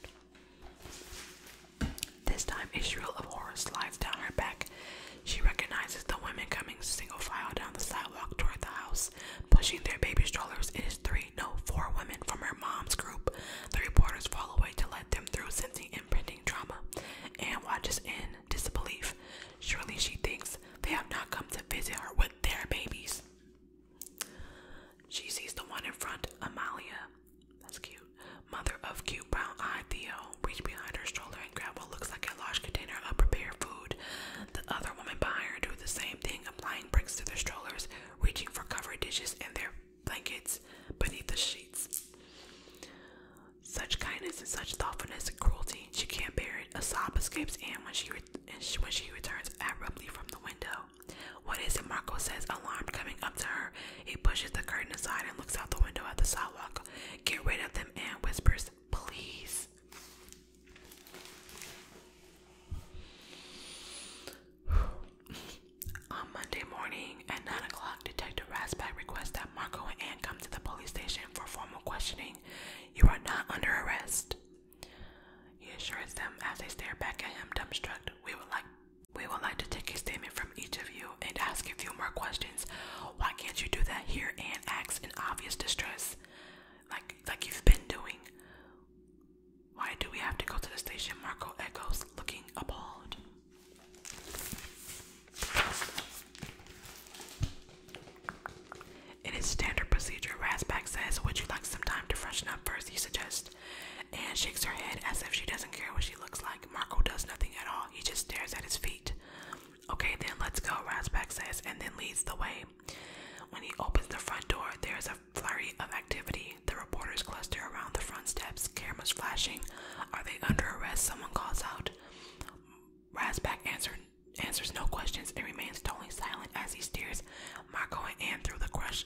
Speaker 1: This time, a shrill of horror slides down her back. She recognizes the women coming single file down the sidewalk toward the house, pushing their baby strollers. It is three, no, four women from her mom's group. The reporters fall away to let them through, sensing imprinting trauma, and watches in disbelief. Surely she thinks they have not come to visit her with their babies. She sees the one in front, Amalia. That's cute. Mother of cute brown eyed Theo. Reach behind her stroller and grab what looks like a large container of prepared food. The other woman behind her do the same thing, applying bricks to their strollers, reaching for covered dishes and their blankets beneath the sheets. Such kindness and such thoughtfulness and cruelty, she can't bear it. A sob escapes Anne when and she, when she returns abruptly from the window. What is it? Marco says, alarmed, coming up to her. He pushes the curtain aside and looks out the window at the sidewalk. Get rid of them, Anne whispers. Please. On Monday morning at 9 o'clock, Detective Rasback requests that Marco and Anne come to the police station for formal questioning. You are not under arrest. He assures them as they stare back at him dumbstruck, we would like we would like to take a statement from each of you and ask a few more questions. Why can't you do that here? Anne acts in obvious distress like like you've been doing. Why do we have to go to the station? Marco echoes, looking appalled. It is standard procedure, Rasback says. Would you like some time to freshen up first, He suggests, and shakes her head as if she doesn't care what she looks like. Marco does nothing at all. He just stares at his feet. Okay, then let's go, Rasback says, and then leads the way. When he opens the front door, there is a flurry of activity. The reporters cluster around the front steps, cameras flashing. Are they under arrest? Someone calls out. Rasback answer, answers no questions and remains totally silent as he steers Marco and Anne through the crush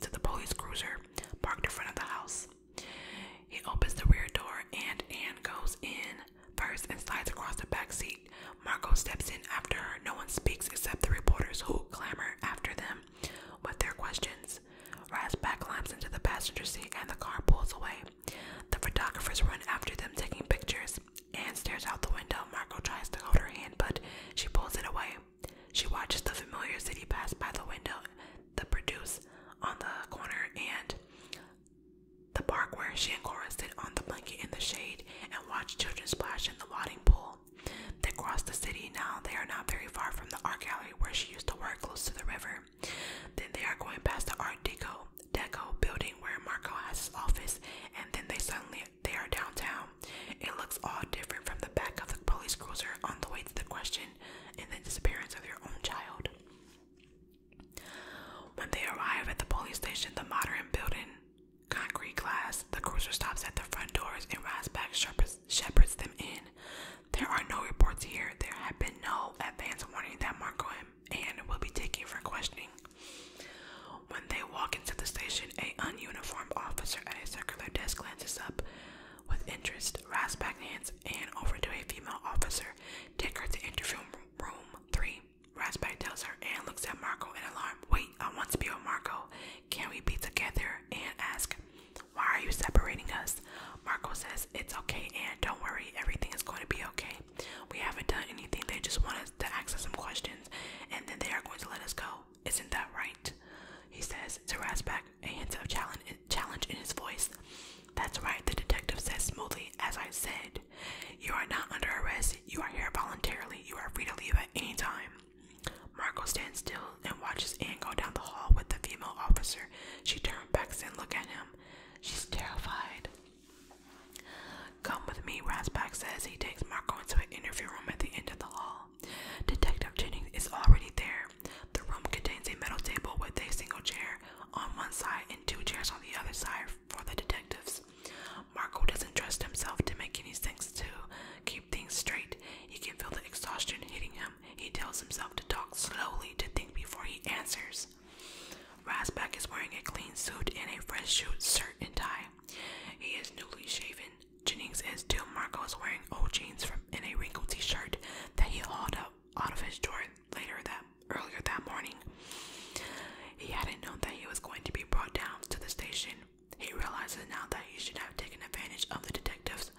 Speaker 1: to the police cruiser parked in front of the house. He opens the rear door and Anne goes in first and slides across the back seat. Marco steps in after her. No one speaks except the reporters who clamor after them with their questions. back climbs into the passenger seat and the car pulls away. The photographers run after them, taking pictures. Anne stares out the window. Marco tries to hold her hand, but she pulls it away. She watches the familiar city pass by the window, the produce on the corner, and the park where she and Cora sit on the blanket in the shade and watch children splash in the wadding pool. They cross the city now. They are not very far from the art gallery where she used to work close to the river. Then they are going past the Art Deco building where Marco has his office, and then they suddenly they are downtown. It looks all different from the back of the police cruiser on the way to the question and the disappearance of your own child. When they arrive at the police station, the modern building, concrete glass, the cruiser stops at the front doors and Rasback shepherds, them in. There are no reports here. There have been no advance warning that Marco and Anne will be taken for questioning. When they walk into the station, a ununiformed officer at a circular desk glances up with interest. Rasback hands Anne over to a female officer. Take her to interview room three. Raspberry tells her and looks at Marco in alarm. Wait, I want to be with Marco. Can we be together? And ask, Why are you separating us? Marco says, It's okay, Anne. Don't worry. Everything is going to be okay. We haven't done anything. They just want us to ask us some questions, and then they are going to let us go. Isn't that right? He says to Rasback, a hint of challenge in his voice. That's right, the detective says smoothly, as I said. You are not under arrest. You are here voluntarily. You are free to leave at any time. Marco stands still and watches Anne go down the hall with the female officer. She turns back and look at him. She's terrified. Come with me, Rasbach says. He takes Marco into an interview room at the end of the hall. Detective Jennings is already there. The room contains a metal table with a single chair on one side and two chairs on the other side for the detectives. Marco doesn't trust himself to make any sense to keep things straight. He can feel the exhaustion hitting him. He tells himself to talk slowly, to think before he answers. Rasback is wearing a clean suit and a fresh suit, shirt and tie. He is newly shaven. Jennings is too. Marco is wearing old jeans from and a wrinkled t-shirt that he hauled up out of his drawer later that earlier that morning. He hadn't known that he was going to be brought down to the station. He realizes now that he should have taken advantage of the detective's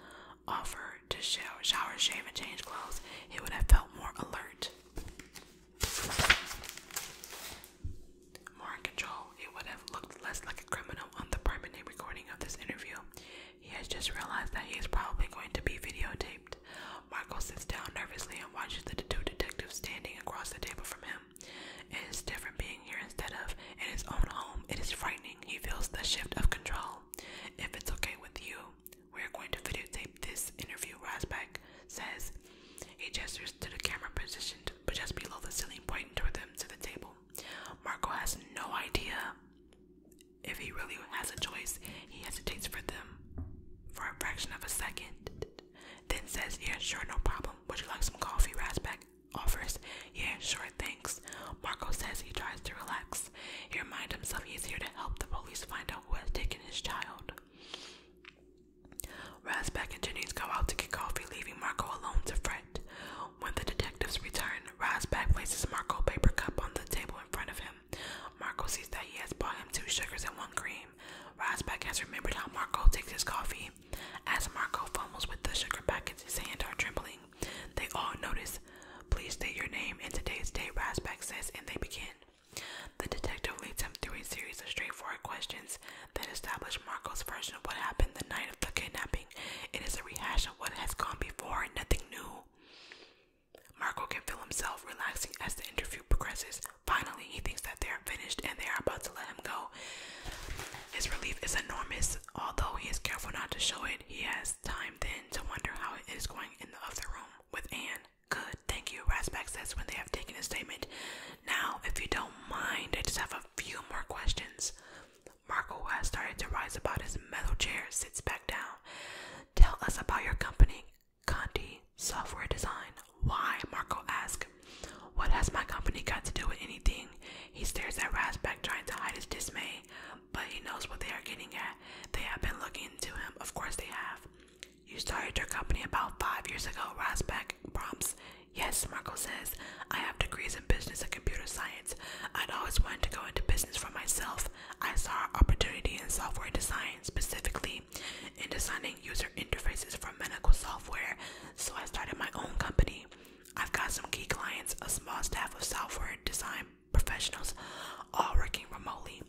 Speaker 1: offer to shower, shave, and change clothes. He would have felt more alert, more in control. He would have looked less like a criminal on the permanent recording of this interview. He has just realized that he is probably going to be videotaped. Marco sits down nervously watches the two detectives standing across the table from him. It is different being here instead of in his own home. It is frightening. He feels the shift of control. If it's okay with you, we're going to videotape this interview, Rasback says. He gestures to the camera positioned but just below the ceiling, pointing toward them to the table. Marco has no idea if he really has a choice. He hesitates for them for a fraction of a second. Then says, yeah, sure, no problem. Would you like some coffee? Rasback offers, yeah, sure, thanks. Marco says he tries to relax. He reminds himself he is here to help the police find out who has taken his child. Rasback and Jennings go out to get coffee, leaving Marco alone to fret. When the detectives return, Rasback places Marco's paper cup on the table in front of him. Marco sees that he has bought him two sugars and one cream. Rosbeck has remembered how Marco takes his coffee. As Marco fumbles with the sugar packets, his hands are trembling. They all notice. Please state your name and today's date, Rosbeck says, and they begin. The detective leads him through a series of straightforward questions that establish Marco's version of what happened the night of the kidnapping. It is a rehash of what has gone before, nothing new. Marco can feel himself relaxing as the interview progresses. Finally, he thinks that they are finished and they are about to let him go. His relief is enormous. Although he is careful not to show it, he has time then to wonder how it is going in the other room with Anne. Good, thank you, Rasback says when they have taken a statement. Now, if you don't mind, I just have a few more questions. Marco, has started to rise about his metal chair, sits back down. Tell us about your company, Conti, software design. Why? Marco asks. What has my company got to do with anything? He stares at Rasback, trying to hide his dismay, but he knows what they are getting at. They have been looking into him. Of course they have. You started your company about five years ago, Rasback prompts. Yes, Marco says. I have degrees in business and computer science. I'd always wanted to go into business for myself. I saw opportunity in software design, specifically in designing user interfaces for medical software, so I started my own company. I've got some key clients, a small staff of software design professionals, all working remotely.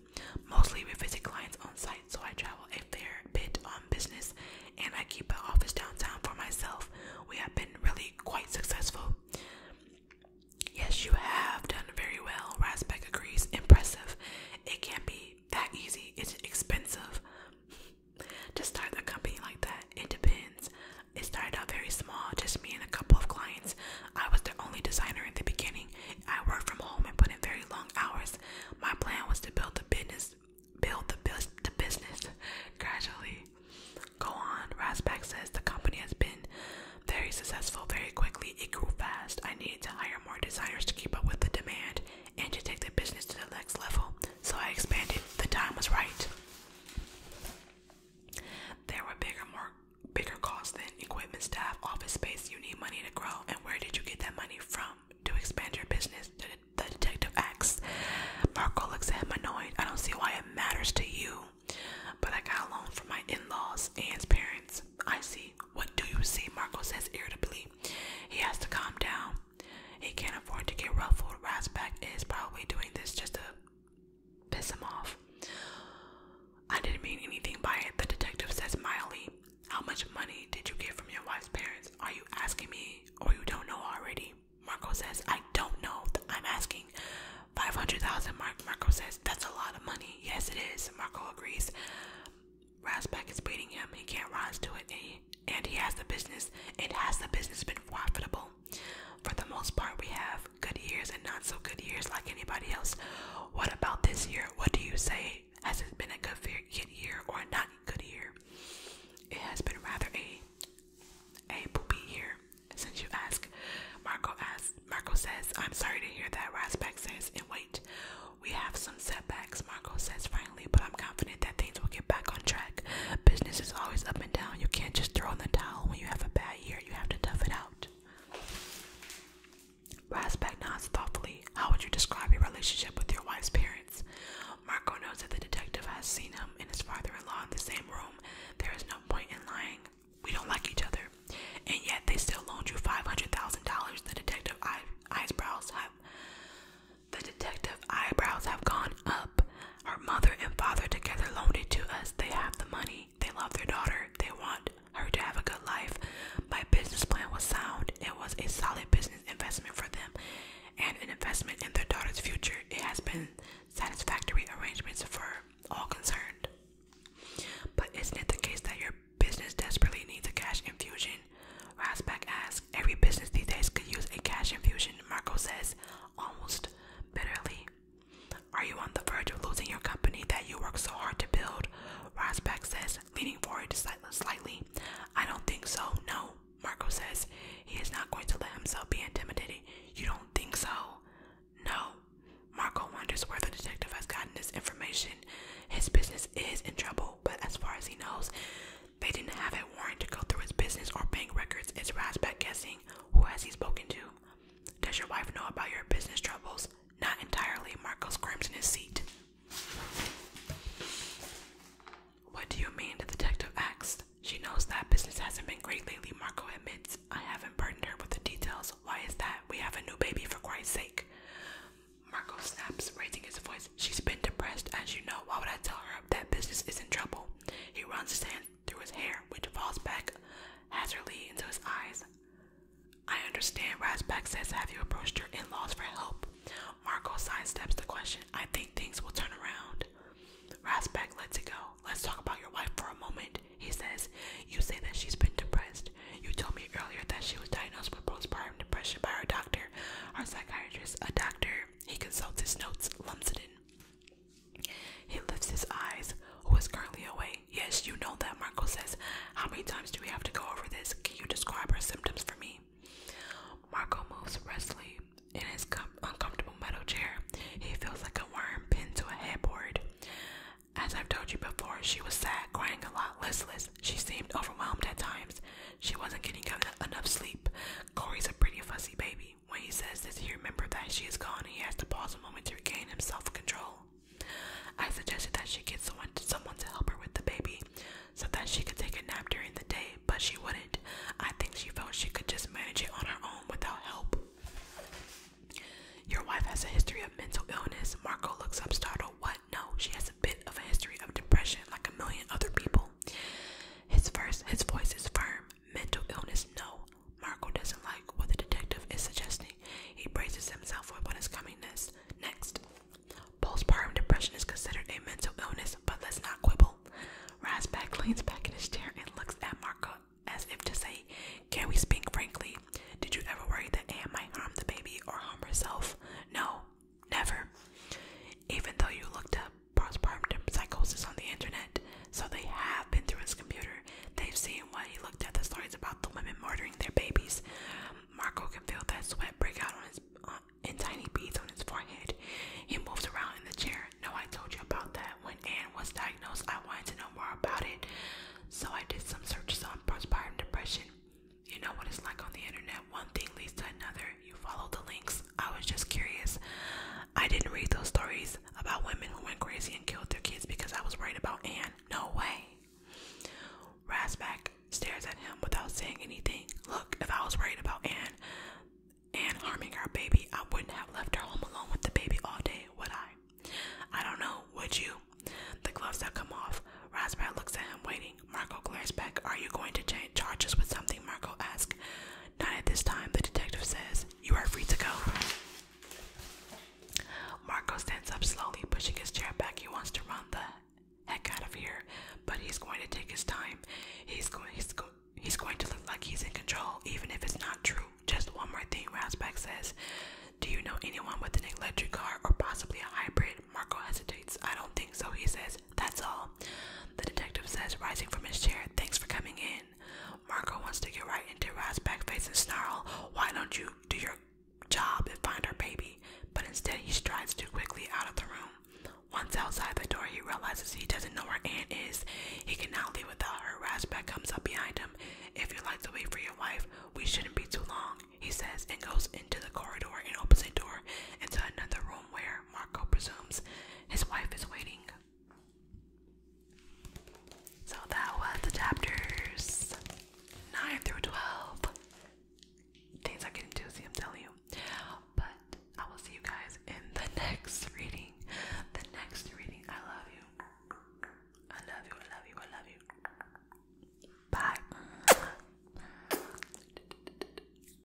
Speaker 1: Mostly we visit clients on site, so I travel a fair bit on business and I keep an office downtown for myself. We have been really quite successful. Yes, you have done very well. Rasbeck agrees. Impressive. It can be that easy. It's expensive to start a company like that. It depends. It started out very small, just me and a couple of clients. I was the only designer in the beginning. I worked from home and put in very long hours. My plan was to build the business, build the, business gradually. Go on, Rasback says the company has been very successful very quickly. It grew fast. I needed to hire more designers to keep up with the demand and to take the business to the next level. So I expanded. The time was right. There were bigger, more bigger costs than equipment, staff, office space. You need money to grow, and where did you get that money from to expand your business? The, detective asks. Marco looks at him annoyed. I don't see why it matters to you, but I got a loan from my in-laws and parents. I see. What do you see? Marco says irritably. He has to calm down. He can't afford to get ruffled. Rasback is probably doing this just to piss him off. I didn't mean anything by it, the detective says mildly. How much money did you get from your wife's parents? Are you asking me or you don't know already? Marco says, I don't know. I'm asking. 500,000, Marco says, that's a lot of money. Yes, it is. Marco agrees. Rasback is beating him. He can't rise to it, eh? and he, has the business. And has the business been profitable? For the most part, we have good years and not so good years like anybody else. What about this year? What do you say? Has it been a good, year or a not good year? It has been rather a a poopy year since you ask. Marco asks. Marco says, "I'm sorry to hear that." Rasback says, "And wait, we have some setbacks, Marco says finally, but I'm confident that things will get back on track. Business is always up and down. You can't just throw in the towel when you have a bad year. You have to tough it out. Rasback nods thoughtfully. How would you describe your relationship with your wife's parents? Marco knows that the detective has seen him and his father-in-law in the same room. There is no point in lying. We don't like each other. And yet they still loaned you $500,000. The detective eye eyebrows the detective eyebrows have gone up. Our mother and father together loaned it to us. They have the money. They love their daughter. They want her to have a good life. My business plan was sound. It was a solid business investment for them and an investment in their daughter's future. It has been satisfactory arrangements for all concerned. But isn't it the case that your business desperately needs a cash infusion? Rasback asks, every business these days could use a cash infusion, Marco says, almost bitterly. Are you on the verge of losing your company that you worked so hard to build? Rasback says, leaning forward slightly. I don't think so, no, Marco says. He is not going to let himself be intimidated. You don't think so? No. Marco wonders where the detective has gotten this information. His business is in trouble, but as far as he knows, they didn't have a warrant to go through his business or bank records. It's Rasback guessing. Who has he spoken to? Does your wife know about your business troubles? Not entirely. Marco squirms in his seat. What do you mean? The detective asked. She knows that business hasn't been great lately, Marco admits. I haven't burdened her with the details. Why is that? We have a new baby, for Christ's sake. Marco snaps, raising his voice. She's been depressed, as you know. Why would I tell her that business is in trouble? He runs his hand through his hair, which falls back hazardly into his eyes. I understand, Rasback says. Have you approached your in laws for help? Marco sidesteps the question. I think things will turn around. Rasback lets it go. Let's talk about your wife for a moment, he says. You say that she's been depressed. You told me earlier that she was diagnosed with postpartum depression by her doctor, her psychiatrist, a doctor he consults his notes, lumps it in. He lifts his eyes. Who is currently away? Yes, you know that, Marco says. How many times do we have to go over this? Can you describe her symptoms for me? Marco moves restlessly in his uncomfortable metal chair. He feels like a worm pinned to a headboard. As I've told you before, she was sad, crying a lot, listless. She seemed overwhelmed at times. She wasn't getting enough sleep. Corey's a pretty fussy baby. When he says this, he remembers that she is gone and he has to pause a moment to regain his self control. I suggested that she get someone to, someone to help her with the baby so that she could take a nap during the day, but she wouldn't. I think she felt she could just manage it on her own without help. Your wife has a history of mental illness. Marco looks up startled. What? No, she has a bit of a history of depression, like a million other people. His first, his voice is firm. Mental illness, no. Marco doesn't like what the detective is suggesting. He braces himself for what is coming next. Next, postpartum depression is considered a mental illness, but let's not quibble. Rasback leans back in his chair and looks at Marco as if to say, "Can we speak frankly? Did you ever worry that Anne might harm the baby or harm herself? No. Never. Even though you looked up postpartum psychosis on the internet, so they have been through his computer. They've seen what he looked at the stories about the women murdering their babies. Marco can feel that sweat break out on his uh, in tiny beads on his forehead. He moves around in the chair. No, I told you about that. When Anne was diagnosed, I wanted to know more about it, so I did some searches on postpartum depression. You know what it's like on the internet. One thing leads to another you followed the links. I was just curious. I didn't read those stories about women who went crazy and killed their kids because I was worried about Anne. No way. Rasback stares at him without saying anything. Look, if I was worried about Anne Anne harming her baby, I wouldn't have left her home alone with the baby all day, would I? I don't know, would you? The gloves that come off. Rasback looks at him, waiting. Marco glares back. Are you going to charge us with something? Marco asks. Not at this time, the detective says. You are free to go. Marco stands up slowly, pushing his chair back. He wants to run the heck out of here, but he's going to take his time. He's going. He's going. He's going to look like he's in control, even if it's not true. Just one more thing, Rasback says. Do you know anyone with an electric car or possibly a hybrid? Marco hesitates. I don't think so, he says. That's all. The detective says, rising from his chair. Thanks for coming in. Marco wants to get right into Raz's back face and snarl. Why don't you do your job and find her baby? But instead, he strides too quickly out of the room. Once outside the door, he realizes he doesn't know where Ann is. He cannot leave without her. Razback comes up behind him. If you like to wait for your wife, we shouldn't be too long, he says, and goes into the corridor and opens a door into another room where Marco presumes his wife is waiting. So that was the 9 through 12. Things are getting juicy, I'm telling you. But I will see you guys in the next reading. The next reading. I love you. I love you. I love you. I love you. Bye.